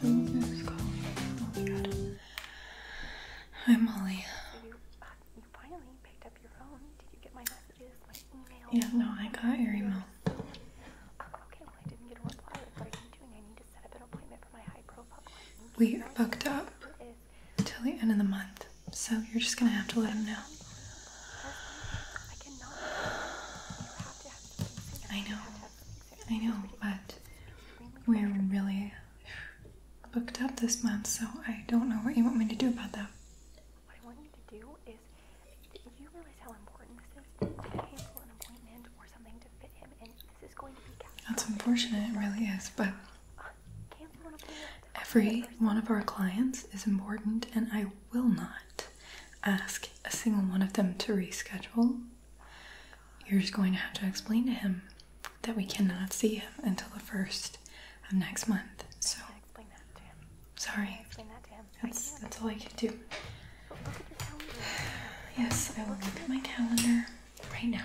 Who's calling? Oh my god. Hi, Molly. So finally picked up your phone. Did you get my messages, my email? Yeah, no, I got your email. We are booked up until the end of the month. So you're just gonna have to let him know. I know. I know, but we're really booked up this month, so I don't know what you want me to do about that. What I want you to do is, you realize how important this is to cancel an appointment or something to fit him in. This is going to be. That's unfortunate. It really is, but. Um, Every one of our clients is important, and I will not ask a single one of them to reschedule. You're just going to have to explain to him that we cannot see him until the first of next month. So, sorry, explain that to him. That's, that's all I can do. Yes, I will look at my calendar right now.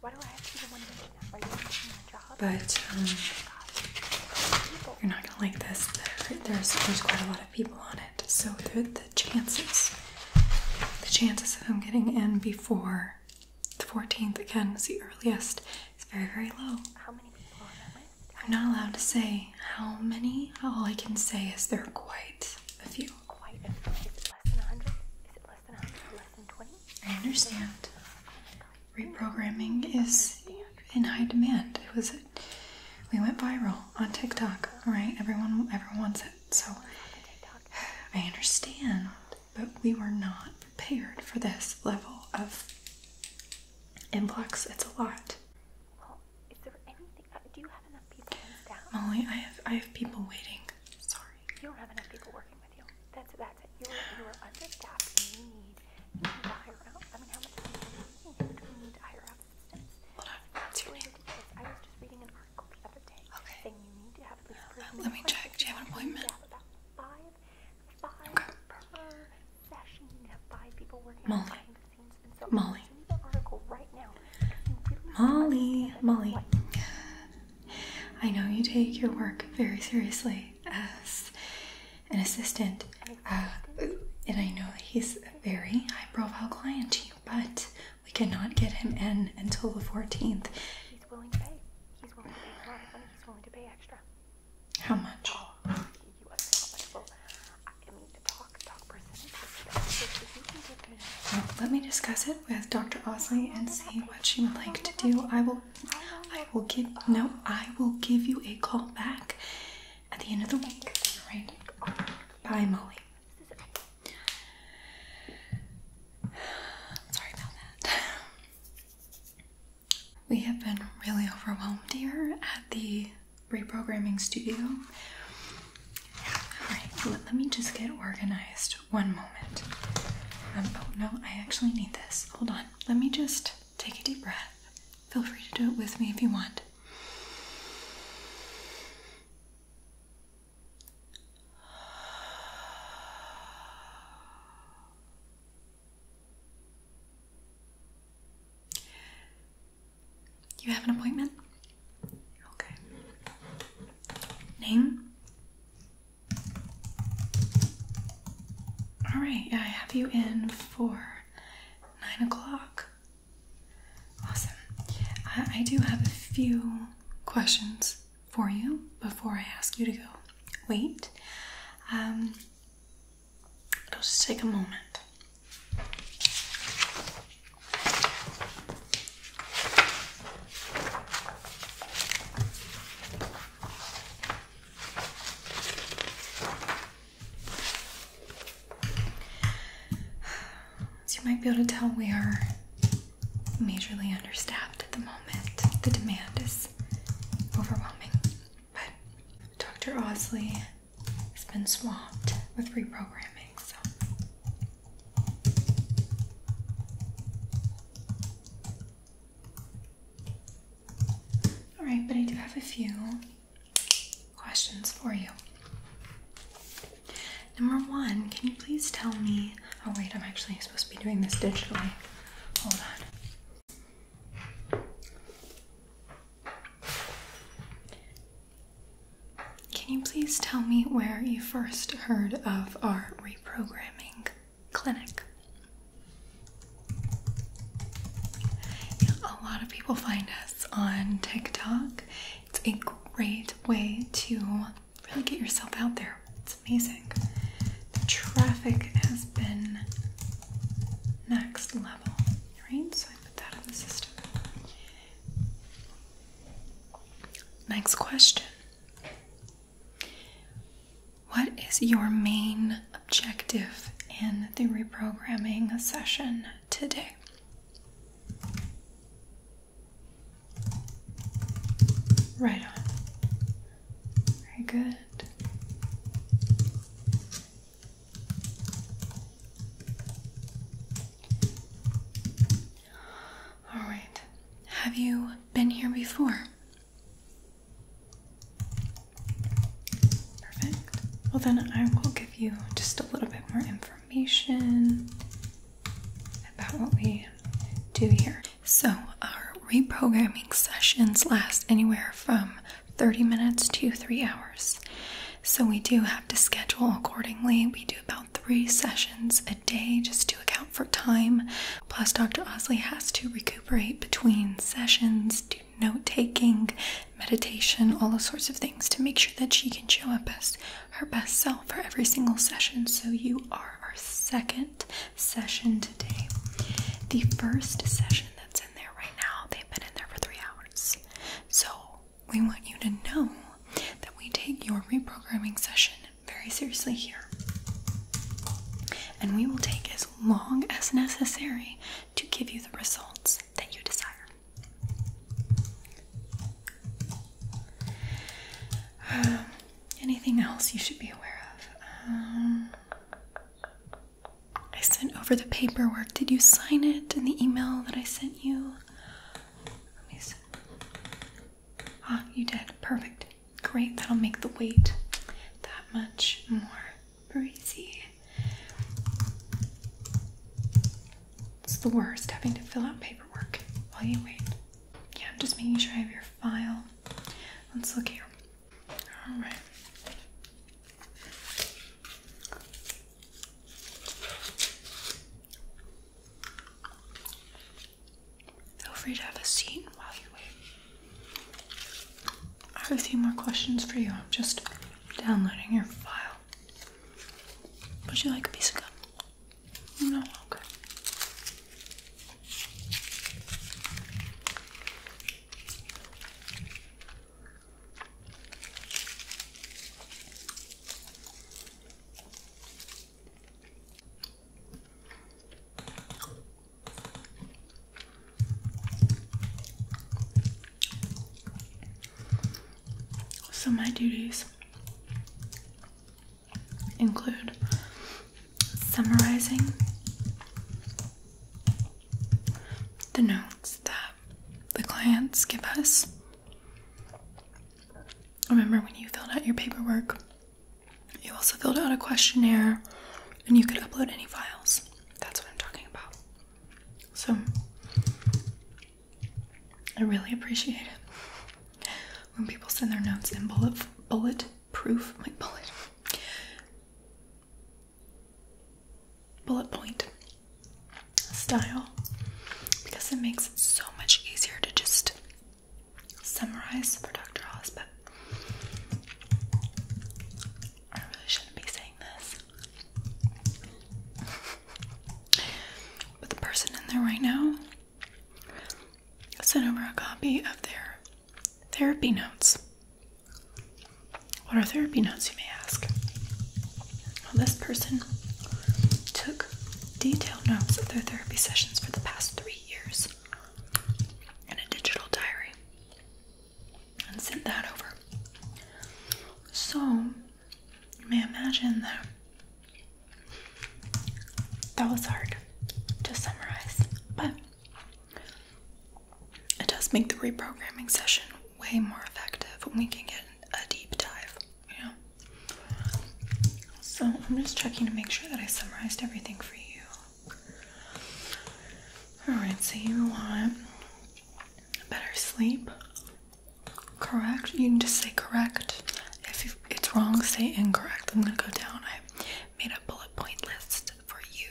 Why do I have to be the one doing that? Are you doing the job? But um, oh you're not gonna like this. There, there's there's quite a lot of people on it, so the the chances, the chances of them getting in before the 14th again is the earliest. It's very very low. How many people are there? I'm not allowed to say how many. All I can say is there are quite a few. Quite a few. Is it less than 100? Is it less less than 20. I understand. Reprogramming is in high demand. It was, we went viral on TikTok. All right, everyone, everyone wants it. So I understand, but we were not prepared for this level of influx. It's a lot. Uh, Molly, I have I have people waiting. Sorry. You don't have enough people working with you. That's it. that's it. You are you are understaffed you need need to hire out. I mean how much do need? we need to hire out Hold on, what's your name? I was just reading an article the other day okay. need to have at Let me check. Do you have an appointment? You have about five five per session. You need to have five people working Molly. behind the scenes and so Molly. read the article right now Molly, Molly, I know you take your work very seriously as an assistant, uh, and I know he's a very high profile client to you, but we cannot get him in until the 14th. He's willing to pay. He's willing to pay a lot of money. He's willing to pay extra. How much? Oh, let me discuss it with Dr. Osley and see what she would like to do. I will I will give no, I will give you a call back at the end of the week. Alright. Bye Molly. Sorry about that. We have been really overwhelmed here at the reprogramming studio. Alright, let me just get organized one moment. Um, oh no, I actually need this. Hold on. Let me just take a deep breath. Feel free to do it with me if you want. You have an appointment? Okay. Name? All right, I have you in for nine o'clock. Awesome. I, do have a few questions for you before I ask you to go. Wait. Um, it'll just take a moment. As you might be able to tell, we are majorly understaffed at the moment. The demand is overwhelming. But Dr. Osley has been swamped with reprogramming, so all right, but I do have a few questions for you. Number one, can you please tell me? Oh, wait, I'm actually supposed to be doing this digitally. Hold on. Can you please tell me where you first heard of our reprogramming clinic? Yeah, a lot of people find us on TikTok. It's a great way to really get yourself out there. It's amazing. The traffic has been next level, right? So I put that in the system. Next question what is your main objective in the reprogramming session today? Right on. Very good. All right. Have you been here before? Perfect. Well, then I will give you just a little bit more information about what we do here. So, our reprogramming sessions last anywhere from 30 minutes to three hours. So, we do have to schedule accordingly. We do about three sessions a day just to account for time. Plus, Dr. Osley has to recuperate between sessions, do note taking, meditation, all those sorts of things to make sure that she can show up as her best self for every single session. So, you are our second session today. The first session that's in there right now, they've been in there for three hours. So, we want you to know that we take your reprogramming session very seriously here. And we will take as long as necessary to give you the results that you desire. Um, anything else you should be aware of? Um, I sent over the paperwork. Did you sign it in the email that I sent you? Let Ah, you did. Perfect. Great. That'll make the wait that much more breezy. It's the worst having to fill out paperwork while you wait. Yeah, I'm just making sure I have your file. Let's look here. Alright. Feel free to have a seat while you wait. I have a few more questions for you. I'm just downloading your file. Would you like a piece of gum? No, okay. So, my duties include summarizing the notes that the clients give us Remember when you filled out your paperwork, you also filled out a questionnaire and you could upload any files. That's what I'm talking about. So I really appreciate it when people send their notes in bullet bullet proof, my bullet bullet point style because it makes it so much easier to just summarize for Dr. Oz, but I really shouldn't be saying this. but the person in there right now sent over a copy of their therapy notes. What are therapy notes, you may ask? Well, this person took detailed notes of their therapy sessions for the past three years and a digital diary and sent that over. So, you may imagine that that was hard to summarize, but it does make the reprogramming session way more effective when we can get a deep dive, you know. So I'm just checking to make sure that I summarized everything for you. Alright, so you want better sleep. Correct. You can just say correct. If it's wrong, say incorrect. I'm gonna go down. I made a bullet point list for you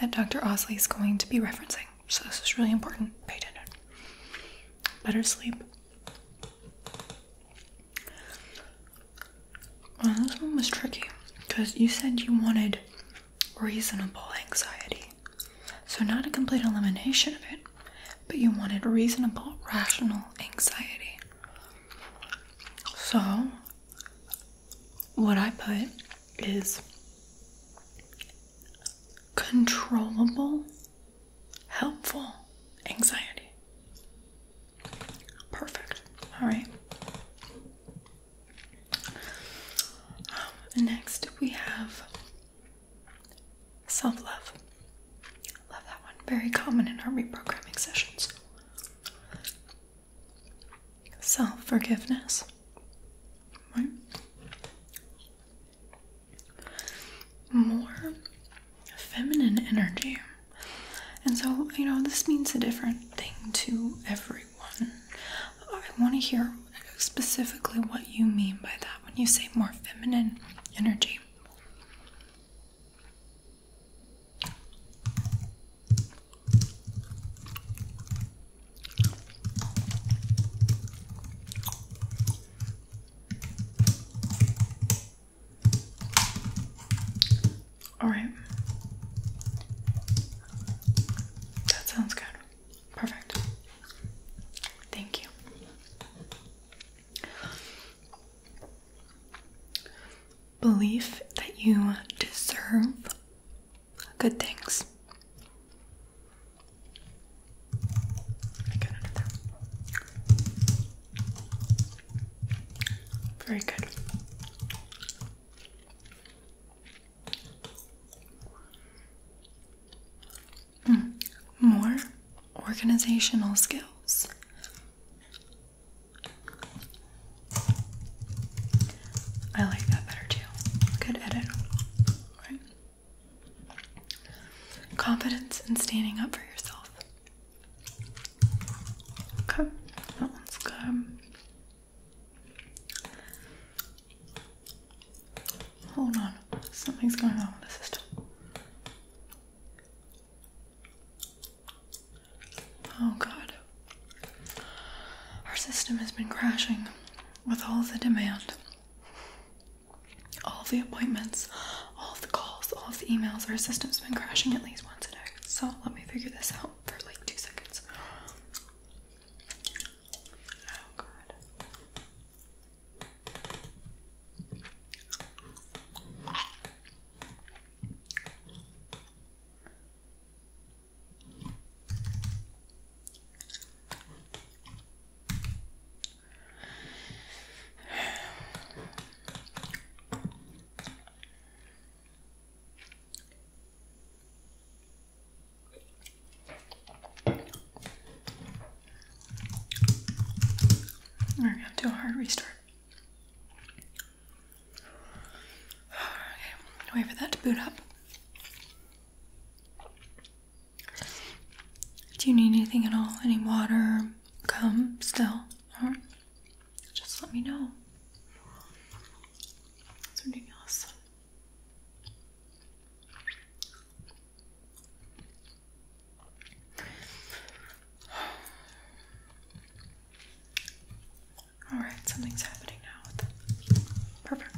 that Dr. Osley is going to be referencing. So this is really important. Pay attention. Better sleep. Well, this one was tricky because you said you wanted reasonable anxiety. So, not a complete elimination of it, but you wanted reasonable, rational anxiety. So, what I put is controllable helpful anxiety. Perfect. All right. Um, next, we have self love. Love that one. Very common in our reprogramming sessions. Self forgiveness. More feminine energy. And so, you know, this means a different thing to everyone. I want to hear specifically what you mean by that when you say more feminine energy. All right. That sounds good. Perfect. Thank you. Belief that you deserve good things. Very good. Hmm. More organizational skills. I like that better too. Good edit. Confidence in standing up for yourself. Okay, that one's good. Hold on, something's going on with the system. Oh god. Our system has been crashing with all the demand all the appointments, all the calls, all the emails. Our system's been crashing at least once a day. So let me figure this out for like two seconds. Oh god this. We're gonna do a hard restart. Okay, wait for that to boot up. Do you need anything at all? Any water? Come still? or just let me know. It's ridiculous. All right, something's happening now. Perfect.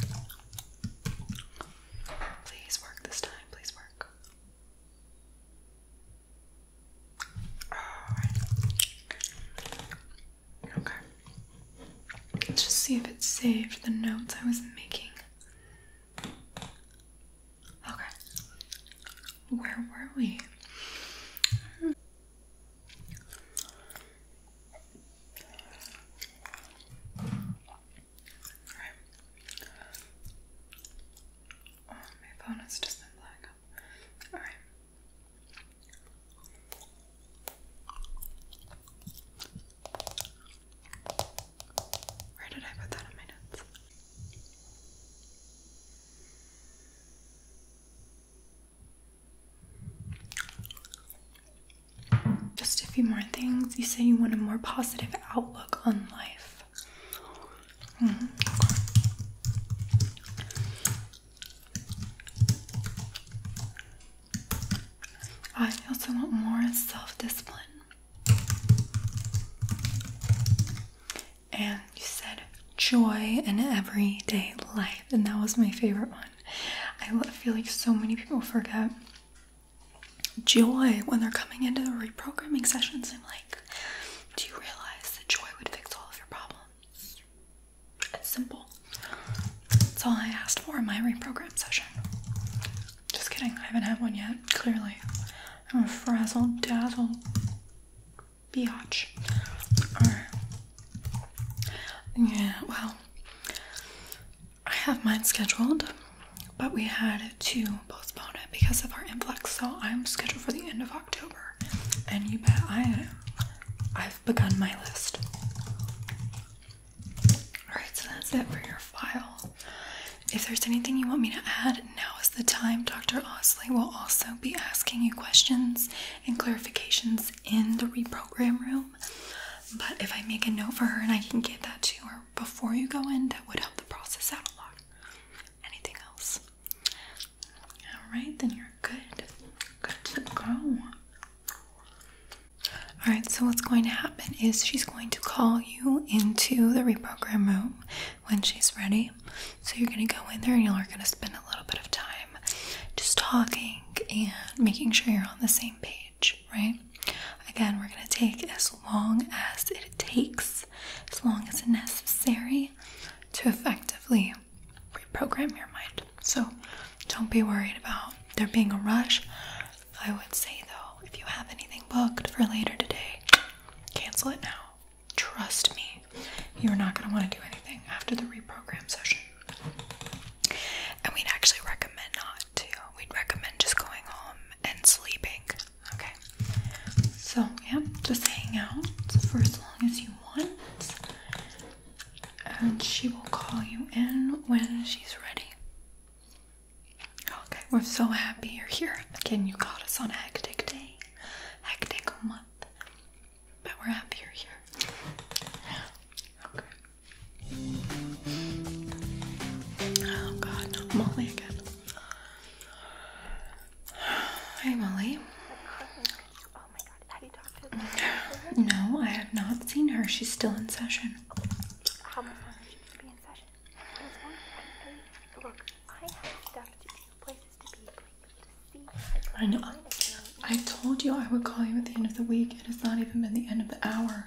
Please work this time. Please work. Okay. Let's just see if it saved the notes I was making. Okay. Where were we? Hmm. Oh, my opponent's just been black. Alright. Where did I put that in my notes? Just a few more things. You say you want a more positive outlook on life. Mm-hmm. I also want more self discipline. And you said joy in everyday life, and that was my favorite one. I feel like so many people forget joy when they're coming into the reprogramming sessions. I'm like, do you realize that joy would fix all of your problems? It's simple. That's all I asked for in my reprogram session. Just kidding, I haven't had one yet, clearly. I'm a frazzle dazzle biatch. Or, yeah, well, I have mine scheduled, but we had to postpone it because of our influx. So I'm scheduled for the end of October, and you bet I I've begun my list. Alright, so that's it for your file. If there's anything you want me to add, now is the time. Dr. Osley will also be asking you questions and clarifications in the reprogram room. But if I make a note for her and I can get that to her before you go in, that would help the process out a lot anything else. Alright, then you're good. Good to go. Alright, so what's going to happen is she's going to call you into the reprogram room when she's ready. So you're going to go in there and you're going to spend a little bit of time just talking and making sure you're on the same page, right? Again, we're going to take as long as it takes as long as necessary to effectively reprogram your mind. So don't be worried about there being a rush. I would say though, if you have anything booked for later today, cancel it now. Trust me, you're not going to want to do anything after the reprogram session. And we'd actually recommend not to. We'd recommend just going home and sleeping Okay, so yeah, just hang out for as long as you want, and she will call you in when she's ready. Okay, we're so happy you're here. Again, you caught us on a hectic day, hectic month, but we're happy you're here. Okay. Oh god, no, Molly again. Hi, Molly. Oh my god, have you talked to her? No, I have not seen her. She's still in session. How much longer is she be in session? Look, I have stuff to do, places to be, I know. I told you I would call you at the end of the week. It has not even been the end of the hour.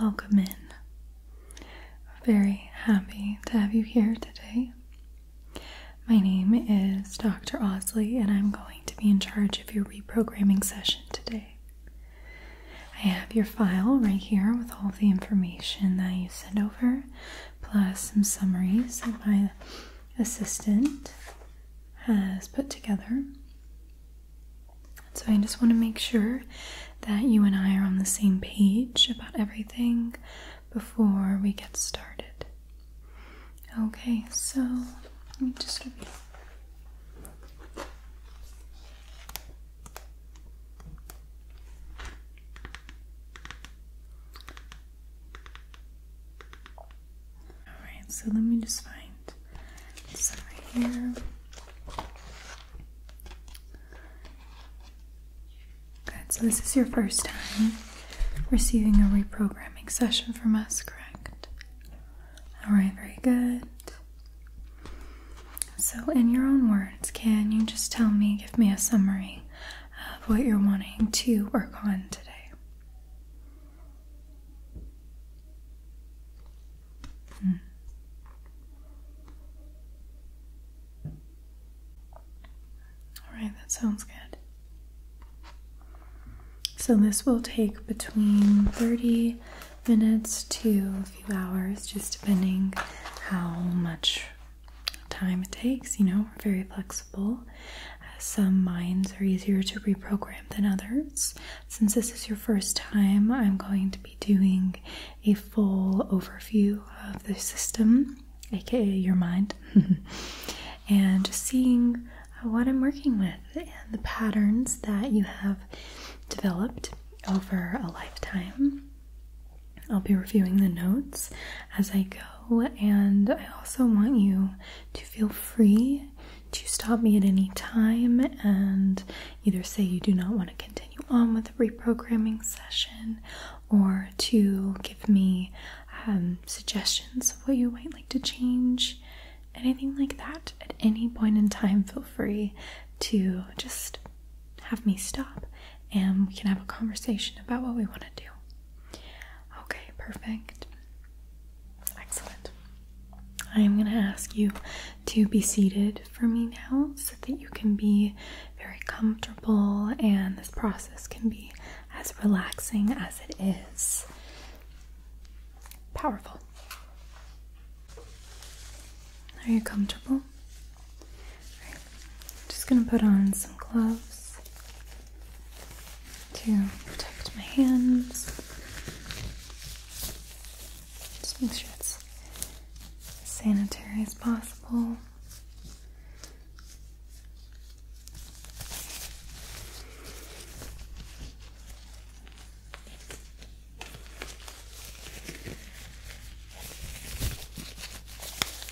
Welcome in. Very happy to have you here today. My name is Dr. Osley, and I'm going to be in charge of your reprogramming session today. I have your file right here with all the information that you sent over, plus some summaries that my assistant has put together. So I just want to make sure that you and I are on the same page about everything before we get started. Okay, so let me just repeat. Alright, so let me just find some right here. Good, so this is your first time receiving a reprogramming session from us, correct? Alright, very good. So, in your own words, can you just tell me, give me a summary of what you're wanting to work on today? Hmm. All right, that sounds good. So, this will take between 30 minutes to a few hours, just depending how much time it takes. You know, we're very flexible. Some minds are easier to reprogram than others, since this is your first time, I'm going to be doing a full overview of the system, aka your mind, and just seeing what I'm working with and the patterns that you have developed over a lifetime. I'll be reviewing the notes as I go, and I also want you to feel free to stop me at any time and either say you do not want to continue on with the reprogramming session or to give me um, suggestions of what you might like to change, anything like that. At any point in time, feel free to just have me stop and we can have a conversation about what we want to do. Okay, perfect. Excellent. I am going to ask you to be seated for me now so that you can be very comfortable and this process can be as relaxing as it is powerful. Are you comfortable? right. I'm just going to put on some gloves to protect my hands. Just make sure it's sanitary as possible.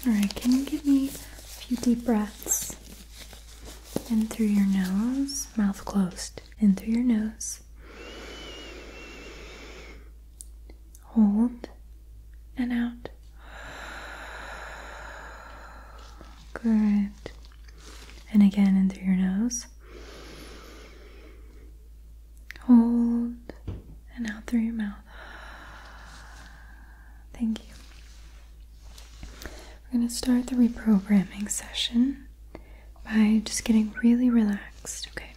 Alright, can you give me a few deep breaths in through your nose, mouth closed? in through your nose. Hold and out. Good. And again, in through your nose. Hold and out through your mouth. Thank you. We're going to start the reprogramming session by just getting really relaxed, okay?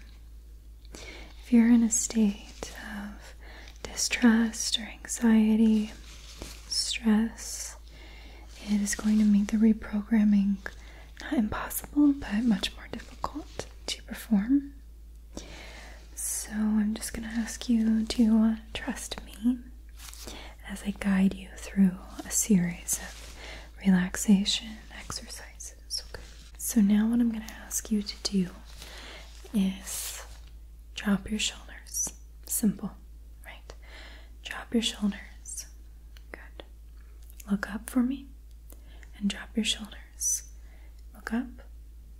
If you're in a state of distrust or anxiety, stress, it is going to make the reprogramming not impossible but much more difficult to perform. So I'm just going to ask you to trust me as I guide you through a series of relaxation exercises. Okay. So now what I'm going to ask you to do is drop your shoulders. Simple, right? Drop your shoulders. Good. Look up for me and drop your shoulders. Look up,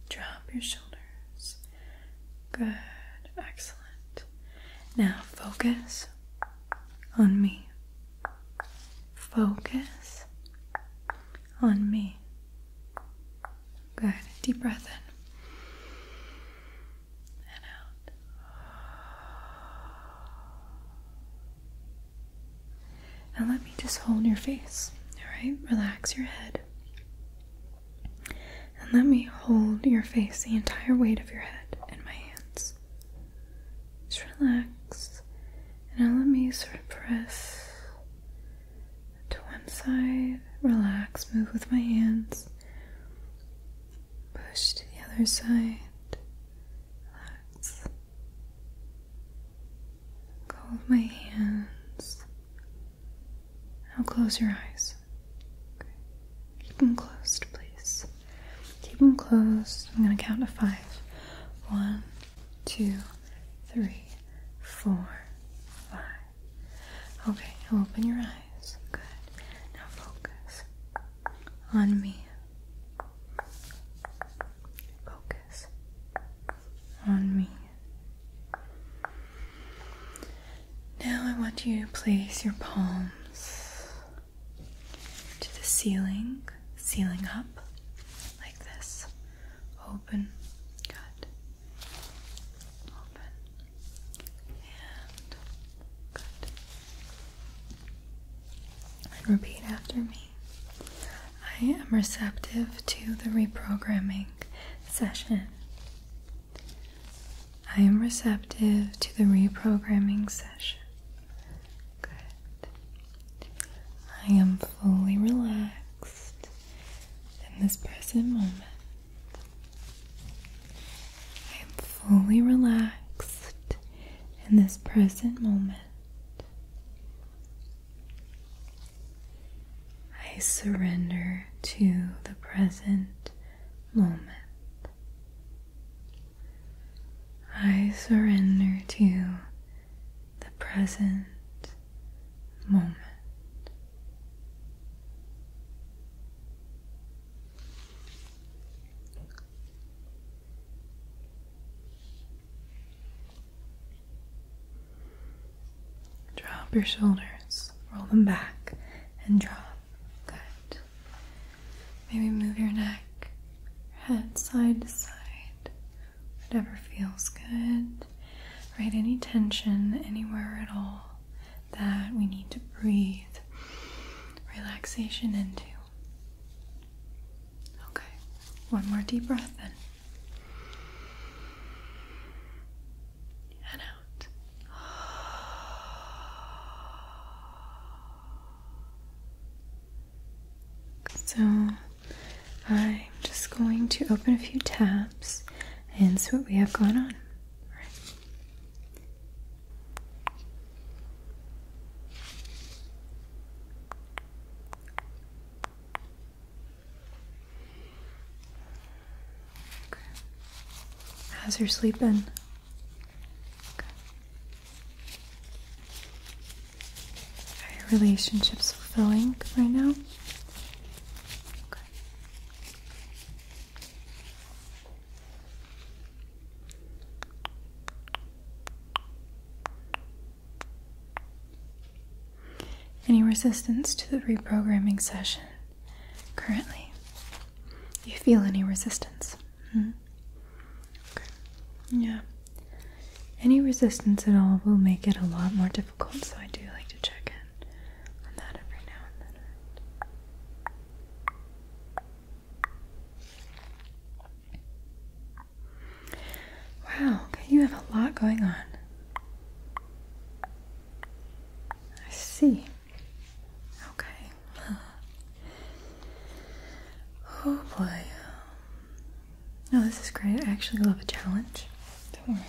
drop your shoulders. Good. Excellent. Now focus on me. Focus on me. Good. Deep breath in and out. Now let me just hold your face. Alright? Relax your head. And let me hold your face, the entire weight of your head, in my hands. Just relax. And now let me sort of press to one side. Relax. Move with my hands. Push to the other side. Relax. Go with my hands. Now close your eyes. Keep them closed, please. Keep them closed. I'm going to count to five. One, two, three, four, five. Okay, now open your eyes. Good. Now focus on me. Focus on me. Now I want you to place your palms to the ceiling, ceiling up like this. Open, good. Open and good. And repeat after me. I am receptive to the reprogramming session. I am receptive to the reprogramming session. Good. I am fully relaxed in this present moment. I am fully relaxed in this present moment. I surrender to the present moment. I surrender to the present moment. Drop your shoulders, roll them back, and drop. Good. Maybe move your neck, head side to side, whatever feels good. Right? Any tension anywhere at all that we need to breathe relaxation into. Okay, one more deep breath in. And out. So I'm just going to open a few tabs and see what we have going on. All right. Okay. How's your sleep are your relationships fulfilling right now? Any resistance to the reprogramming session currently? Do you feel any resistance? Mm-hmm. Yeah. Any resistance at all will make it a lot more difficult, so I do like to check in on that every now and then. Wow, you have a lot going on. I see. Okay. oh boy. Um, no, this is great. I actually love a challenge. Don't worry.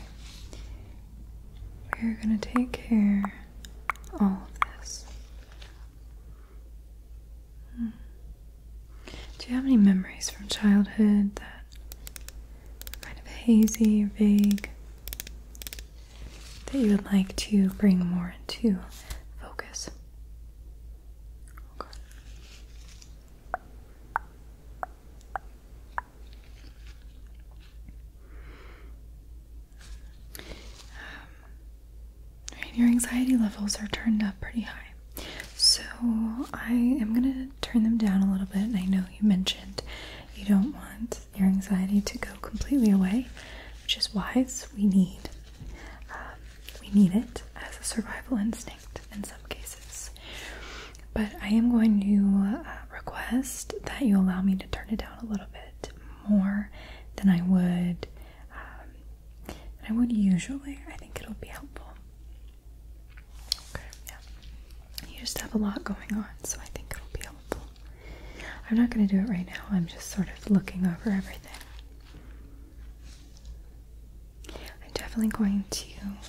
We're gonna take care of all of this. Hmm. Do you have any memories from childhood that are kind of hazy or vague? that you would like to bring more into focus. Um, right, your anxiety levels are turned up pretty high. So I am gonna turn them down a little bit. I know you mentioned you don't want your anxiety to go completely away which is wise. We need um, we need it as a survival instinct in some cases. But I am going to uh, request that you allow me to turn it down a little bit more than I would um, I would usually. I think it'll be helpful. You just have a lot going on, so I think it'll be helpful. I'm not going to do it right now. I'm just sort of looking over everything. I'm definitely going to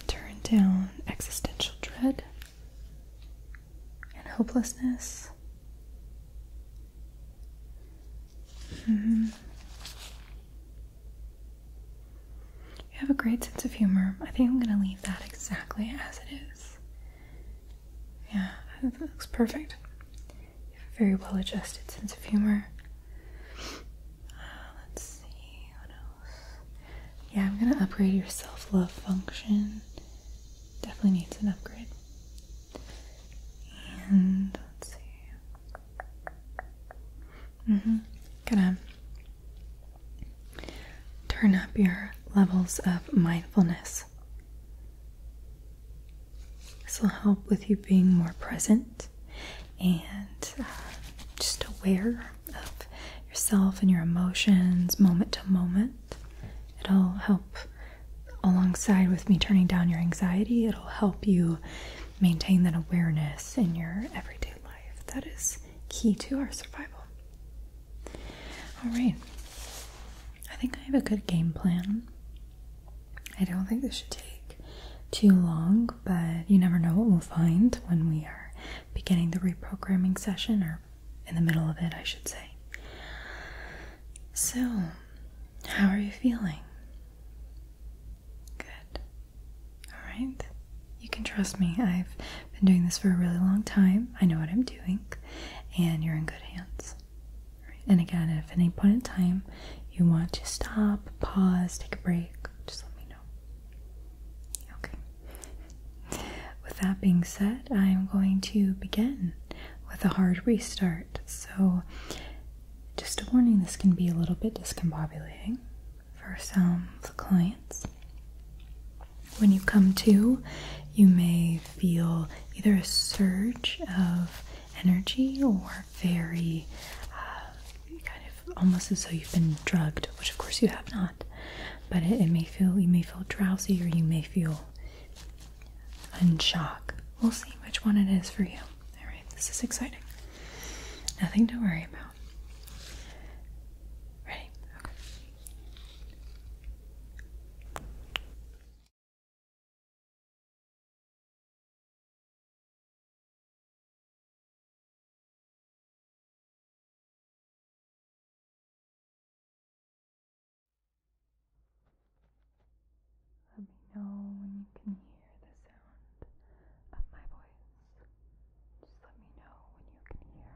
turn down existential dread and hopelessness. Mm-hmm. You have a great sense of humor. I think I'm going to leave that exactly as it is. Yeah, that looks perfect. You have a very well adjusted sense of humor. Uh, let's see, what else? Yeah, I'm gonna upgrade your self love function. Definitely needs an upgrade. And let's see. Mm-hmm. Gonna turn up your levels of mindfulness. This will help with you being more present and uh, just aware of yourself and your emotions moment to moment. It'll help alongside with me turning down your anxiety, it'll help you maintain that awareness in your everyday life. That is key to our survival. All right. I think I have a good game plan. I don't think this should take too long, but you never know what we'll find when we are beginning the reprogramming session, or in the middle of it, I should say. So, how are you feeling? Good. Alright. You can trust me. I've been doing this for a really long time. I know what I'm doing, and you're in good hands. And again, if at any point in time you want to stop, pause, take a break, just let me know. Okay. With that being said, I am going to begin with a hard restart. So, just a warning this can be a little bit discombobulating for some of the clients. When you come to, you may feel either a surge of energy or very uh, kind of almost as though you've been drugged, which of course you have not. But it may feel you may feel drowsy or you may feel in shock. We'll see which one it is for you. All right, this is exciting. Nothing to worry about. Ready? Okay. Let me know when you can hear the sound of my voice. Just let me know when you can hear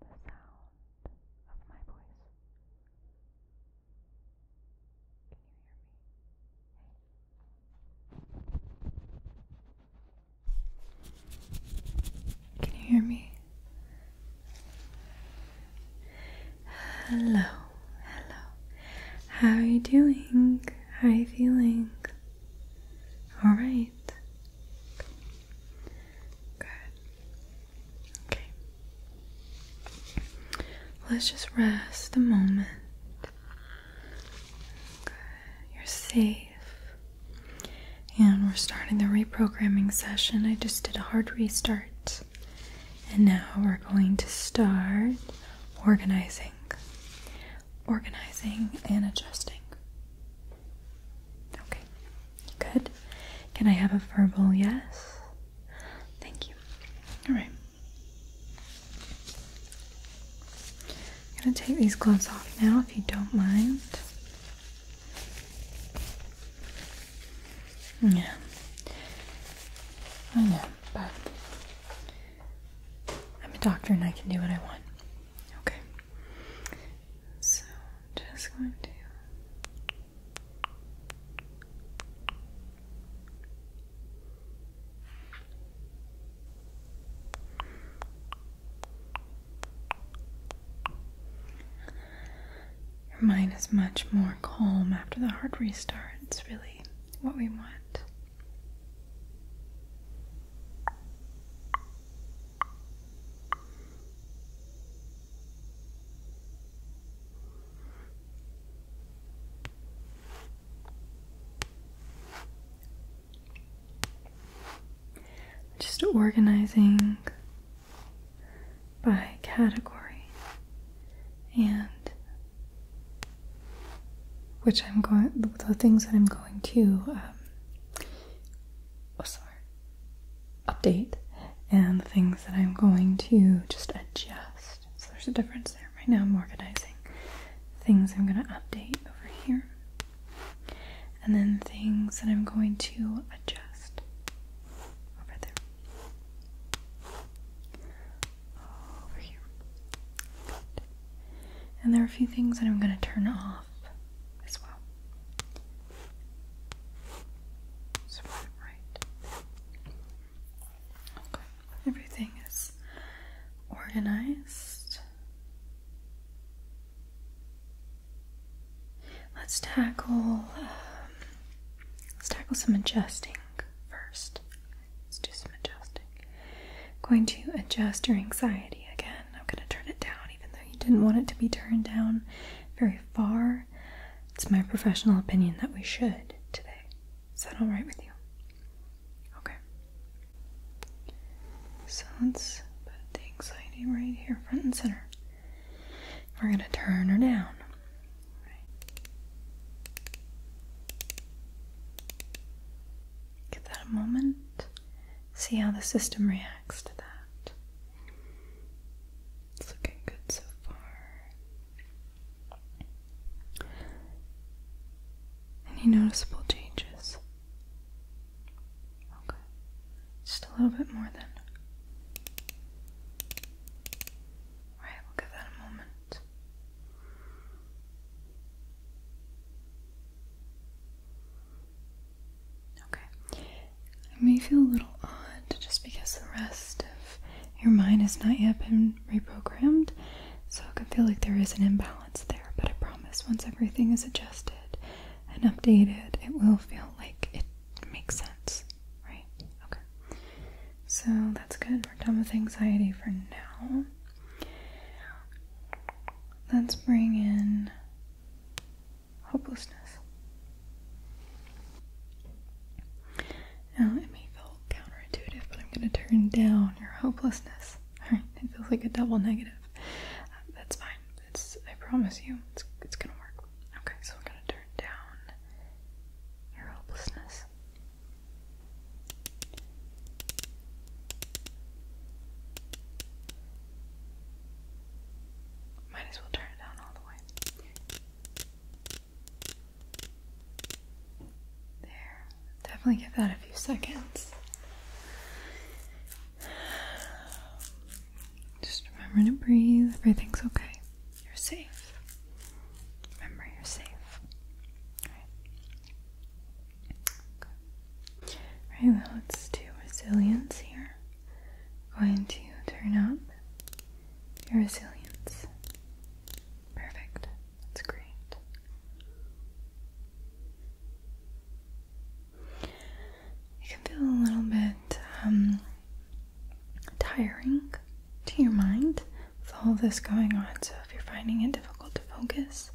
the sound of my voice. Can you hear me? Hello, hello. How are you doing? How are you feeling? All right. Good. Okay. Let's just rest a moment. You're safe. And we're starting the reprogramming session. I just did a hard restart. And now we're going to start organizing. Organizing and adjusting. Okay. Good. Can I have a verbal yes? Thank you. Alright. I'm gonna take these gloves off now if you don't mind. Yeah. I know, but I'm a doctor and I can do what I want. Okay. So, just going to your mind is much more calm after the heart restarts. really what we want. Just organizing by category and which I'm going, the things that I'm going to, um, oh, sorry, update and things that I'm going to just adjust. So there's a difference there. Right now I'm organizing things I'm going to update over here and then things that I'm going to adjust over there. Over here. And there are a few things that I'm going to turn off as well right. Okay, everything is organized. Let's tackle um, let's tackle some adjusting first. Let's do some adjusting. going to adjust your anxiety again. I'm going to turn it down, even though you didn't want it to be turned down very far. It's my professional opinion that we should today. Is that alright with you? Okay. So let's put the anxiety right here, front and center. We're going to turn her down. Give that a moment. See how the system reacts to that. It's looking good so far. Any noticeable changes? Okay. Just a little bit more then. Alright, we'll give that a moment. Okay. It may feel a little odd just because the rest of your mind has not yet been reprogrammed, so it could feel like there is an imbalance there. But I promise, once everything is adjusted and updated, it will feel like it makes sense, right? Okay. So that's good. We're done with anxiety for now. Let's bring in hopelessness. Now, it may feel counterintuitive, but I'm going to turn down your hopelessness. Alright, it feels like a double negative. Uh, that's fine. It's, I promise you, it's, it's going to work. Okay, so we're going to turn down your hopelessness. Might as well turn it down all the way. There. Definitely give that a few seconds. Just remember to breathe. Everything's okay. You're safe. Remember, you're safe. All right. All right, now let's do resilience here. going to turn up your resilience. Perfect. That's great. It can feel a little bit um, tiring to your mind with all this going on, so if you're finding it difficult to focus,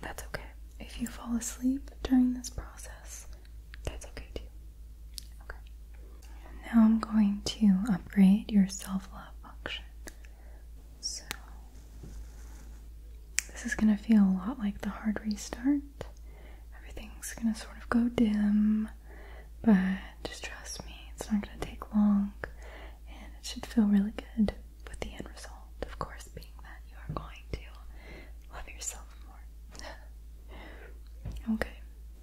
that's okay. If you fall asleep during this process, that's okay too. Now I'm going to upgrade your self love function. So, this is going to feel a lot like the hard restart. Everything's going to sort of go dim, but just trust me, it's not going to take long and it should feel really good with the end result, of course, being that you are going to love yourself more. okay.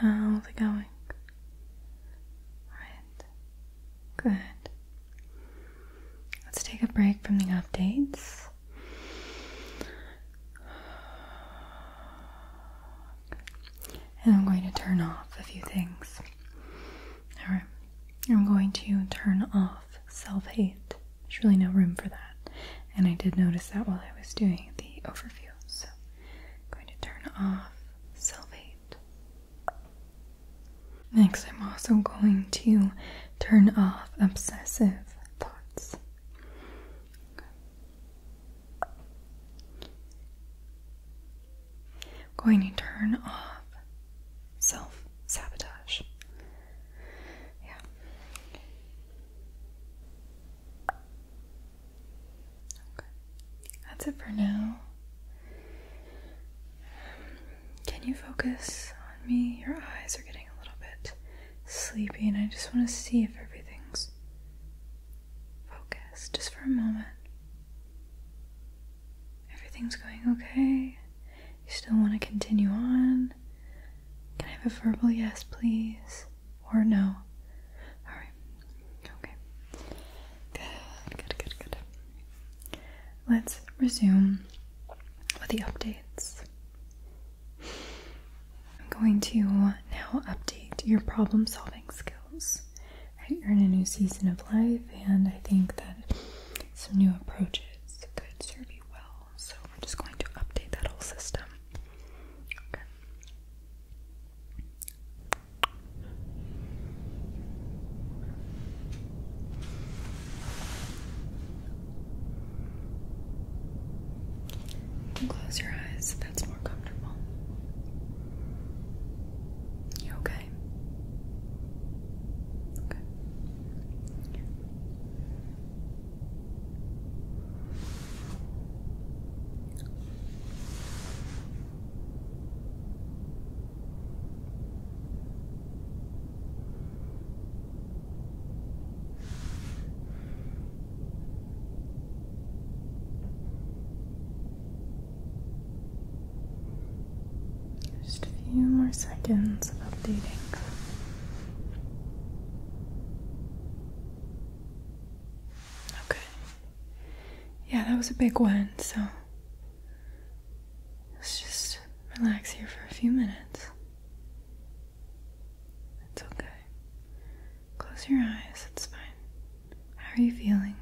How's it going? Alright. Good. Let's take a break from the updates. And I'm going to turn off a few things. Alright. I'm going to turn off self hate. There's really no room for that. And I did notice that while I was doing the overview. So I'm going to turn off self hate. Next, I'm also going to turn off obsessive thoughts going to turn off self sabotage. Yeah. Okay. That's it for now. Can you focus on me? Your eyes are getting a little bit sleepy, and I just want to see if everything's Focus just for a moment. Everything's going okay. You still want to continue on? Can I have a verbal yes, please? Or no? Alright. Okay. Good, good, good, good. Let's resume with the updates. I'm going to now update your problem solving skills right, you're in a new season of life, and I think that some new approaches could serve you well. So we're just going to update that whole system. close your eyes, that's more comfortable. You okay? Okay. Just a few more seconds of updating. Okay. Yeah, that was a big one, so let's just relax here for a few minutes. It's okay. Close your eyes, it's fine. How are you feeling?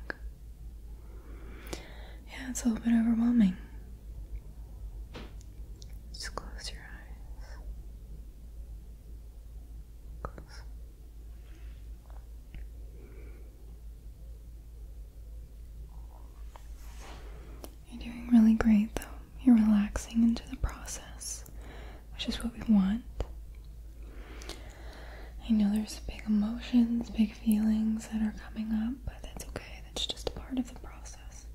Yeah, it's a little bit overwhelming. Just close your eyes. Close. You're doing really great though. You're relaxing into the process, which is what we want. I know there's big emotions, big feelings that are coming up, but that's okay. That's just a part of the process.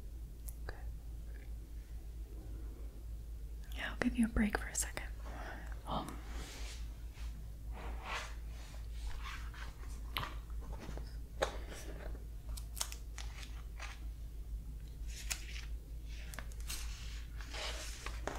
Yeah, I'll give you a break for a second. Um,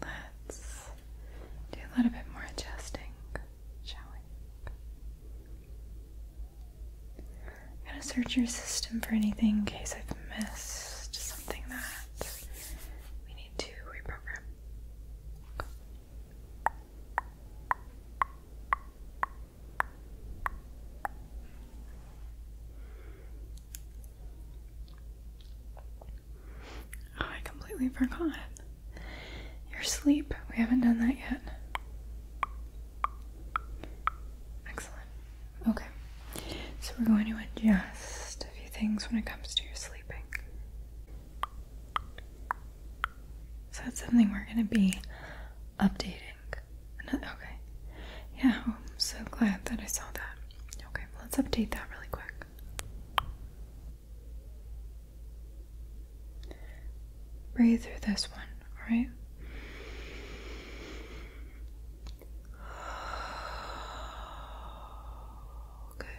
Let's do a little bit more adjusting, shall we? I'm going to search your system for anything in case I've missed something that we need to reprogram. Oh, I completely forgot. Your sleep. We haven't done that yet. Excellent. Okay. So we're going to adjust a few things when it comes to your sleeping. So that's something we're going to be updating. Okay. Yeah, I'm so glad that I saw that. Okay, let's update that really quick. Breathe through this one, all right?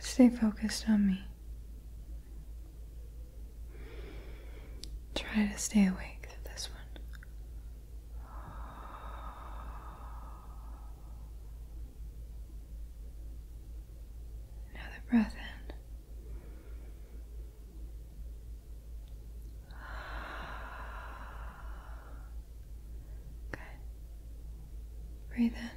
stay focused on me. Try to stay awake through this one. Another breath in. Good. Breathe in.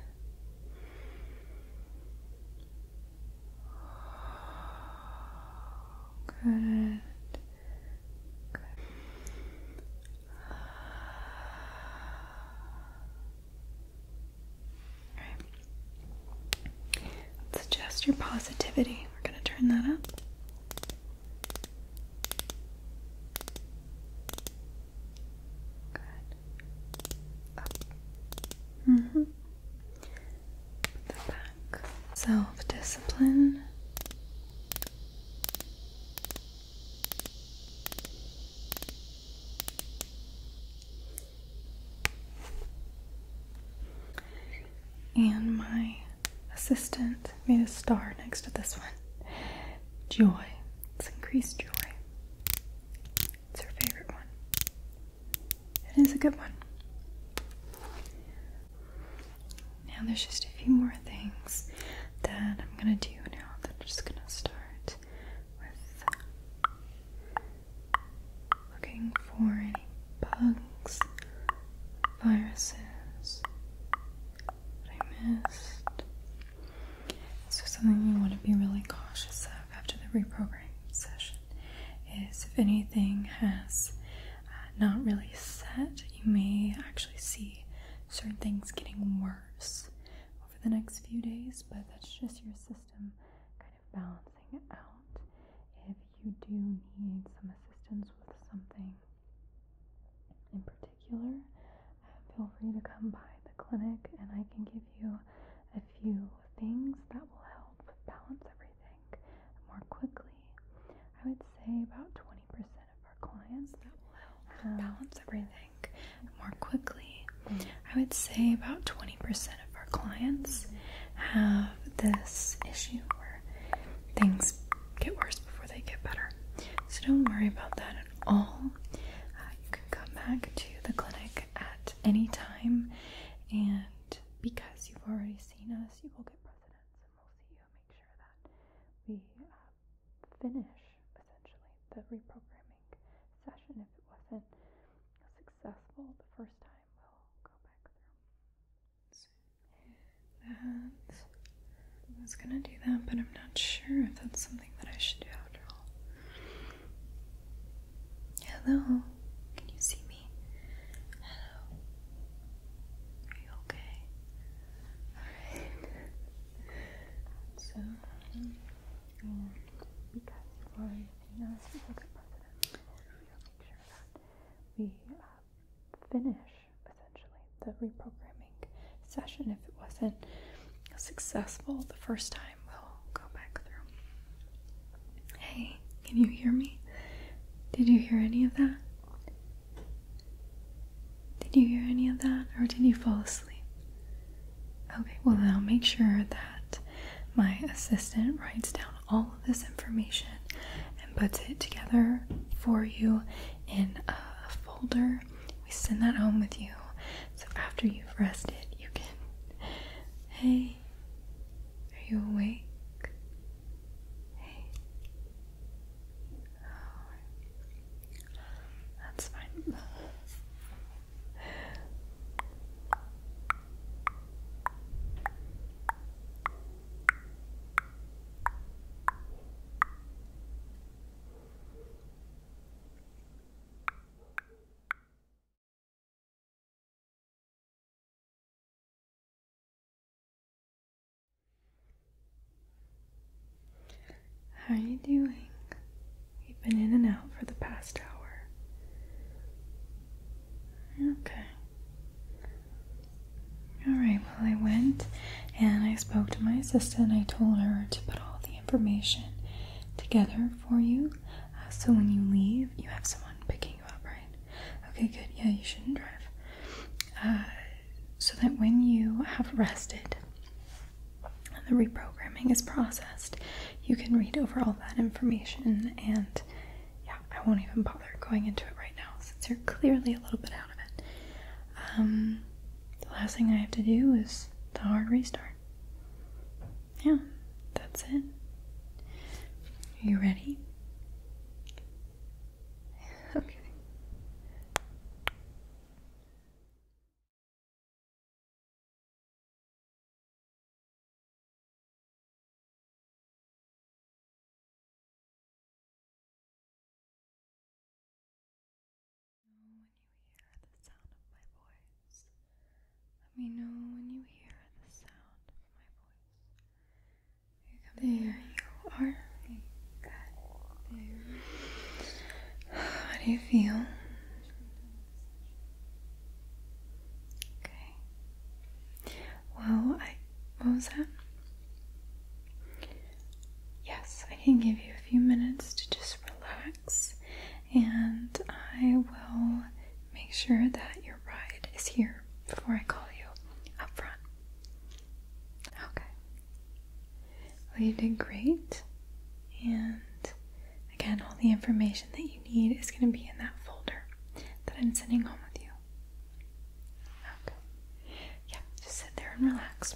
Good. Good. Alright. your positivity. We're going to turn that up. Good. Mm-hmm. Self discipline. And my assistant made a star next to this one. Joy. It's increased joy. It's her favorite one. It is a good one. Now there's just a few more things that I'm gonna do now that I'm just gonna start looking for any bugs, viruses that I missed. So something you want to be really cautious of after the reprogramming session is if anything has uh, not really set, you may actually see certain things getting worse over the next few days, but that's just your system kind of balancing out. If you do need some assistance with something in particular, uh, feel free to come by the clinic and I can give you a few things that will help balance everything more quickly. I would say about 20% of our clients that balance everything more mm-hmm. quickly. Mm-hmm. I would say about 20% of our clients have this issue where things get worse before they get better. So don't worry about that at all. Uh, you can come back to the clinic at any time, and because you've already seen us, you will get precedence, and we'll make sure that we. Uh, finish essentially the reprogramming session if it wasn't successful the first time. We'll go back through. I was gonna do that, but I'm not sure if that's something that I should do after all. Hello, can you see me? Hello, are you okay? Alright, so. Um, um, because for being a specific president, we will make sure that we finish essentially the reprogramming session. If it wasn't successful the first time, we'll go back through. Hey, can you hear me? Did you hear any of that? Did you hear any of that or did you fall asleep? Okay, well, I'll make sure that my assistant writes down all of this information and puts it together for you in a folder. We send that home with you so after you've rested, you can. Hey, are you awake? Hey. That's fine. How are you doing? You've been in and out for the past hour. Okay. Alright, well, I went and I spoke to my assistant. I told her to put all the information together for you uh, so when you leave, you have someone picking you up, right? Okay, good. Yeah, you shouldn't drive. Uh, so that when you have rested, and the reprogramming is processed, you can read over all that information. And yeah, I won't even bother going into it right now since you're clearly a little bit out of it. Um, the last thing I have to do is the hard restart. Yeah, that's it. Are you ready? Okay know when you hear the sound of my voice. Let me know when you hear the sound of my voice. There you are. How do you feel? Okay. Well, I what was that? Yes, I can give you a few minutes to just relax, and I will make sure that your ride is here before I call you up front. Okay. Well, you did great. And again, all the information that you need is going to be in that folder that I'm sending home with you. Okay. Yeah, just sit there and relax.